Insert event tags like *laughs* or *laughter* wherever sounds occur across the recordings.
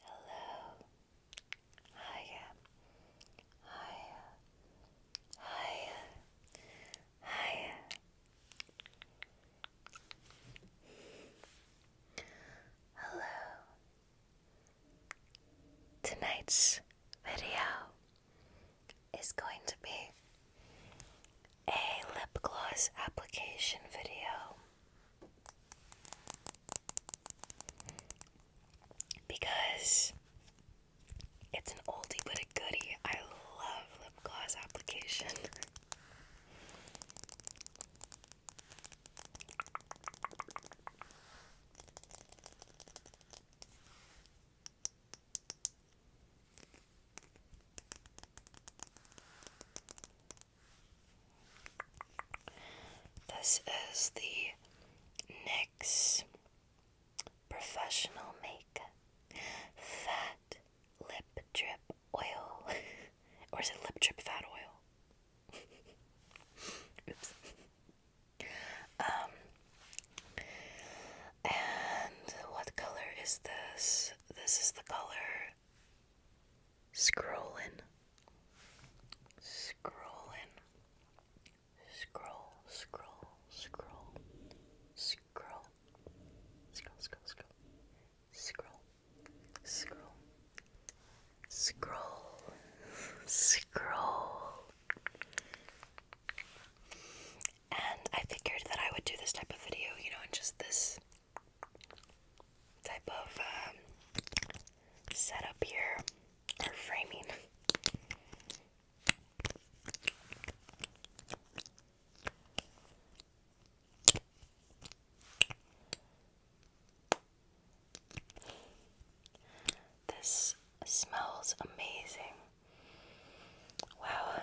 Hello. Hiya. Hiya. Hiya. Hiya. Hello. Tonight's video is going to be a lip gloss application video because it's an oldie but a goodie. I love lip gloss application. This is the NYX Professional Makeup Fat Lip Drip Oil. *laughs* or is it Lip Drip Fat Oil? *laughs* Oops. Um, and what color is this? This is the color Scrolling. Scrolling. Scroll, scroll, scroll. Scroll. Scroll, scroll, scroll. Scroll. Scroll. Scroll. Scroll. And I figured that I would do this type of video, you know, just this type of um, setup here or framing. This smells amazing. Wow.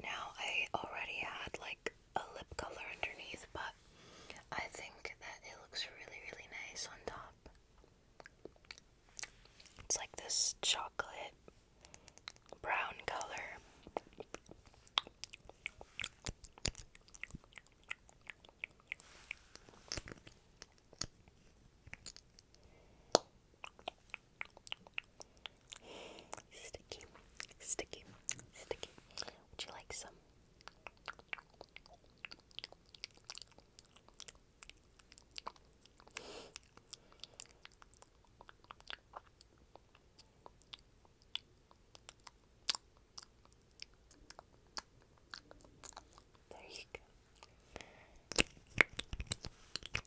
Now, I already had like a lip color underneath, but I think that it looks really, really nice on top. It's like this chocolate brown color. Sticky, sticky, sticky. Would you like some? There you go.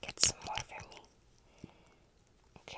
Get some more for me. Okay.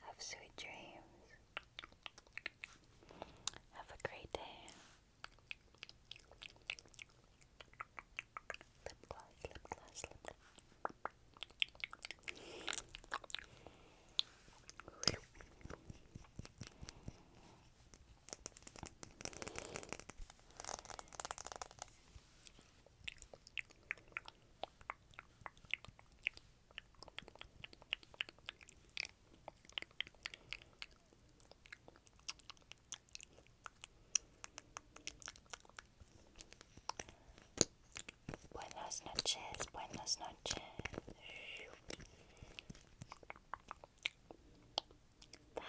Have sweet dreams. Have a great day. Lip gloss, lip gloss, lip gloss. Buenas noches, buenas noches. Bye.